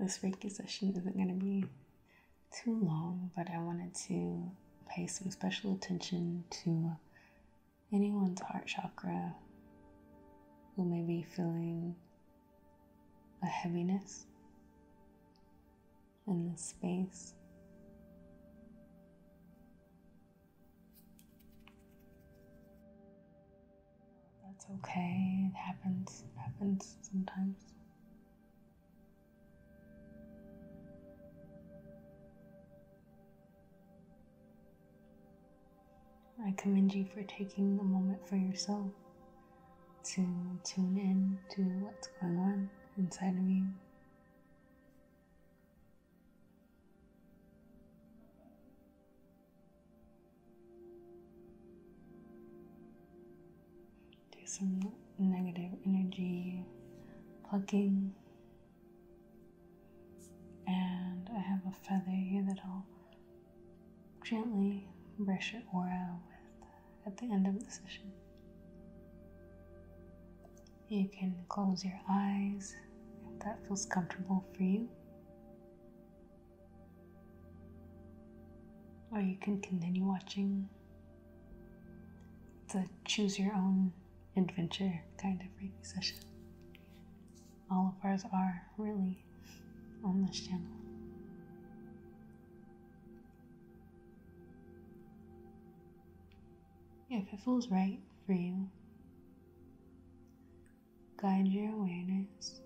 This Reiki session isn't going to be too long, but I wanted to pay some special attention to anyone's heart chakra who may be feeling a heaviness in this space. That's okay. It happens. happens sometimes. I commend you for taking a moment for yourself to tune in to what's going on inside of you. Do some negative energy plucking. And I have a feather here that I'll gently brush your aura with at the end of the session. You can close your eyes if that feels comfortable for you. Or you can continue watching. It's a choose your own adventure kind of Reiki session. All of ours are really on this channel. If it feels right for you, guide your awareness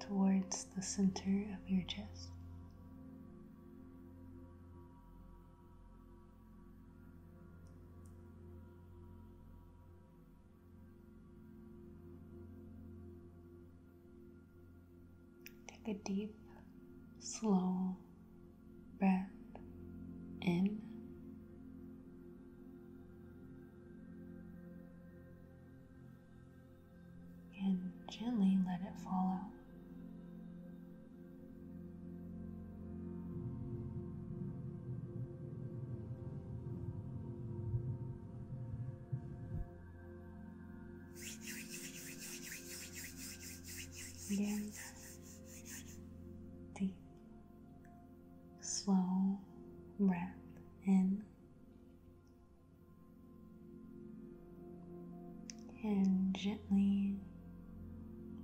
towards the center of your chest. Take a deep, slow breath in and gently let it fall out. Again, deep slow breath in and gently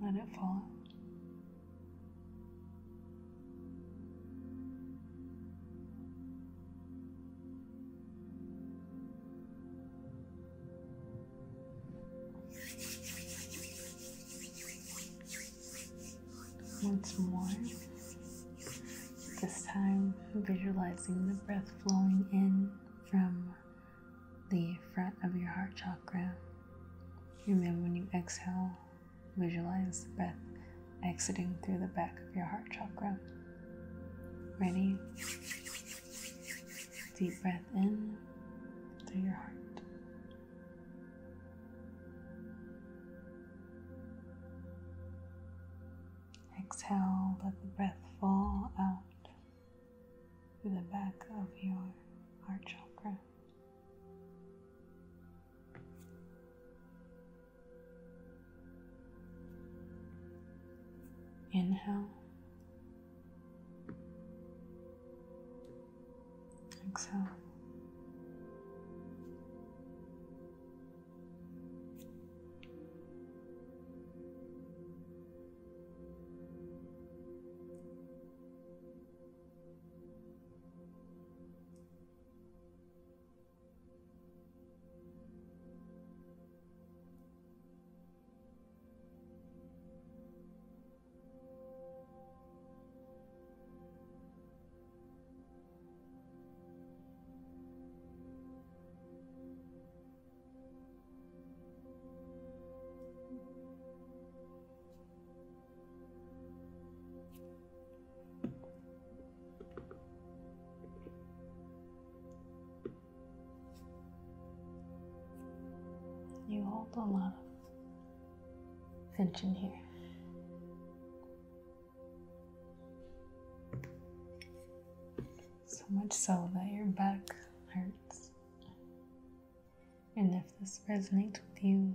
let it fall once more. This time, visualizing the breath flowing in from the front of your heart chakra. Remember, when you exhale, visualize the breath exiting through the back of your heart chakra. Ready? Deep breath in through your heart. Exhale, let the breath fall out through the back of your heart chakra. Inhale. Exhale. You hold a lot of tension here. So much so that your back hurts. And if this resonates with you,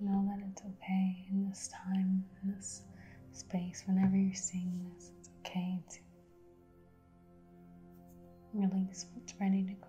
know that it's okay in this time, in this space, whenever you're seeing this, it's okay to Release what's ready to go.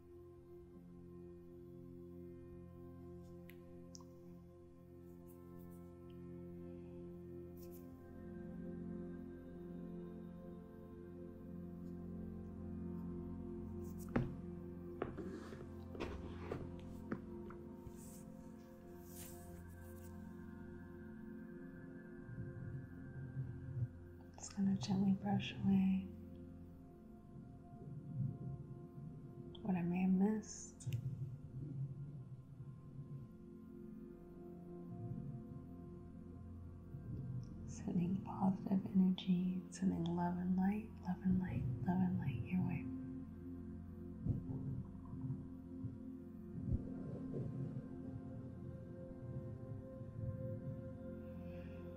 Just going to gently brush away what I may have missed. Sending positive energy, sending love and light, love and light, love and light your way.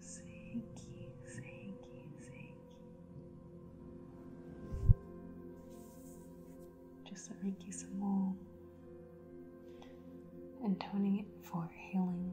Thank you, thank you, thank you. Just the Reiki symbol and toning it for healing.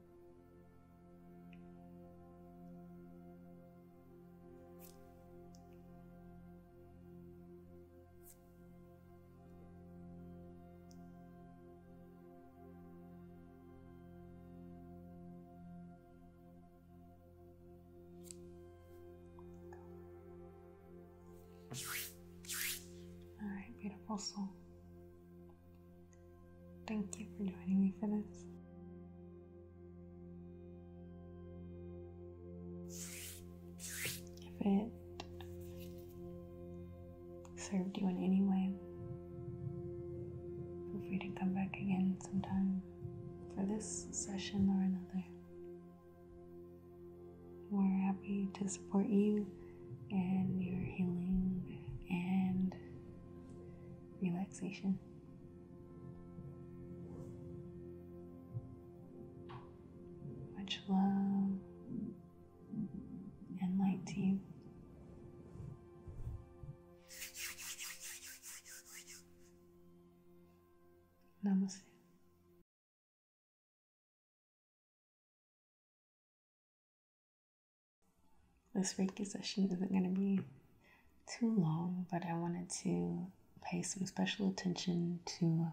All right, beautiful soul. Thank you for joining me for this. If it served you in any way, feel free to come back again sometime for this session or another. We're happy to support you and your healing and relaxation. Much love and light to you. Namaste. This Reiki session isn't going to be too long, but I wanted to pay some special attention to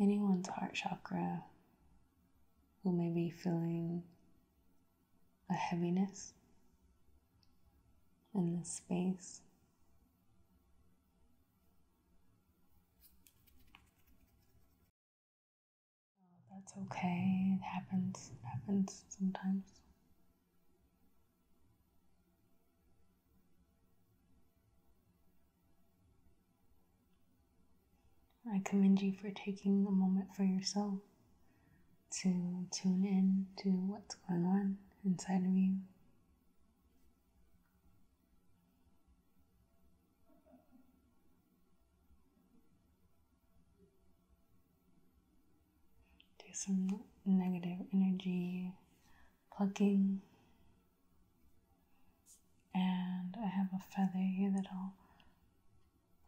anyone's heart chakra who may be feeling a heaviness in this space. Oh, that's okay. It happens. happens sometimes. I commend you for taking a moment for yourself to tune in to what's going on inside of you. Do some negative energy plucking. And I have a feather here that I'll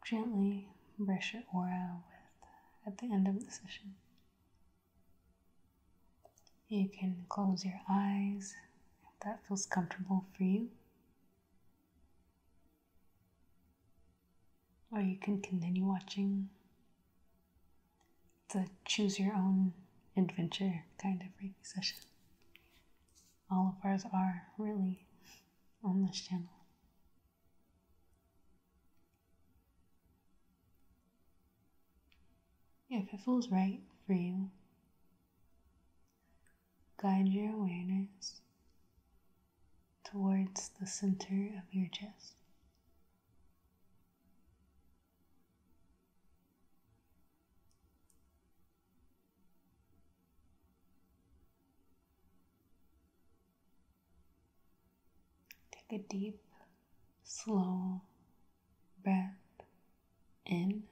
gently brush your aura with at the end of the session. You can close your eyes that feels comfortable for you. Or you can continue watching. It's a choose your own adventure kind of Reiki session. All of ours are really on this channel. If it feels right for you, Guide your awareness towards the center of your chest. Take a deep, slow, breath in.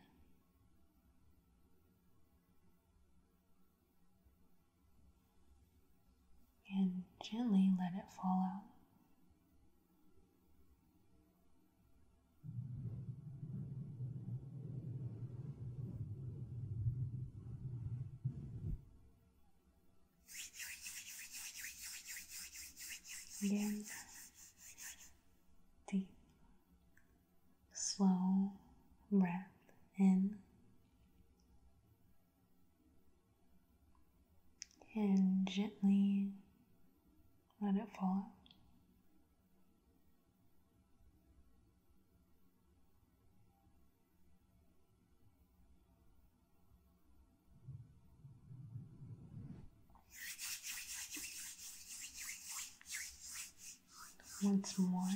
And gently let it fall out. Again, deep, slow breath in and gently let it fall. Once more,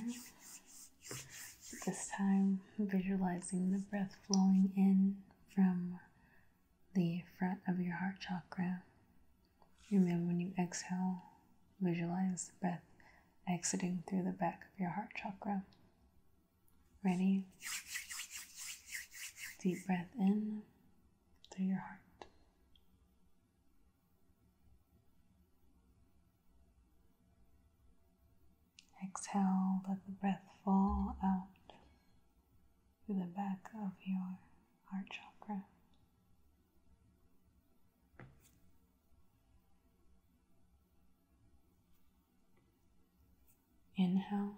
this time visualizing the breath flowing in from the front of your heart chakra. Remember, when you exhale, visualize the breath exiting through the back of your heart chakra. Ready? Deep breath in through your heart. Exhale, let the breath fall out through the back of your heart chakra. Inhale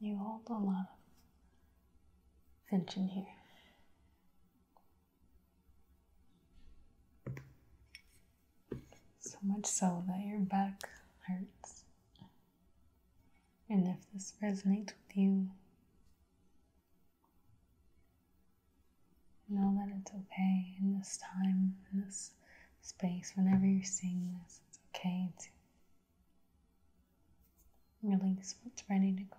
You hold a lot of tension here. So much so that your back hurts. And if this resonates with you, know that it's okay in this time, in this space, whenever you're seeing this, it's okay to release what's ready to go.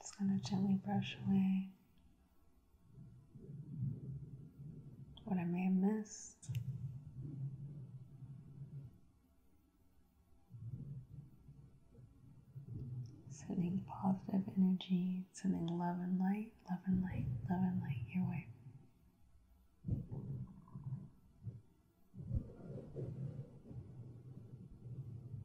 Just going to gently brush away what I may have missed. Sending positive energy, sending love and light, love and light, love and light your way.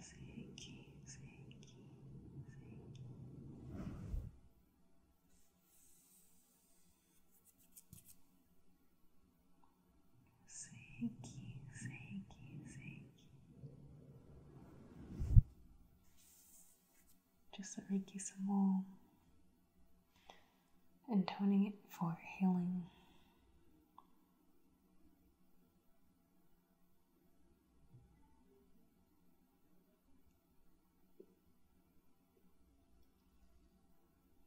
Sei aqui, sei aqui, sei aqui. Thank you, thank you, thank Just the Reiki symbol and toning it for healing.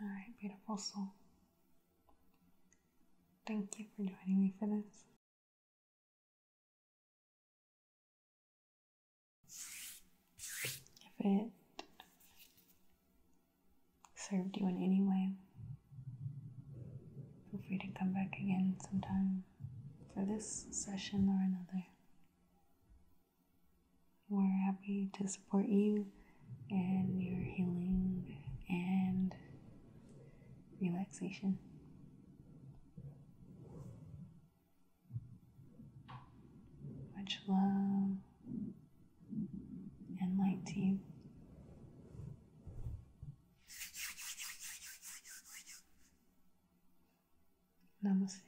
All right, beautiful soul. Thank you for joining me for this. If it served you in any way, feel free to come back again sometime for this session or another. We're happy to support you in your healing and relaxation. Much love and light to you. Namaste.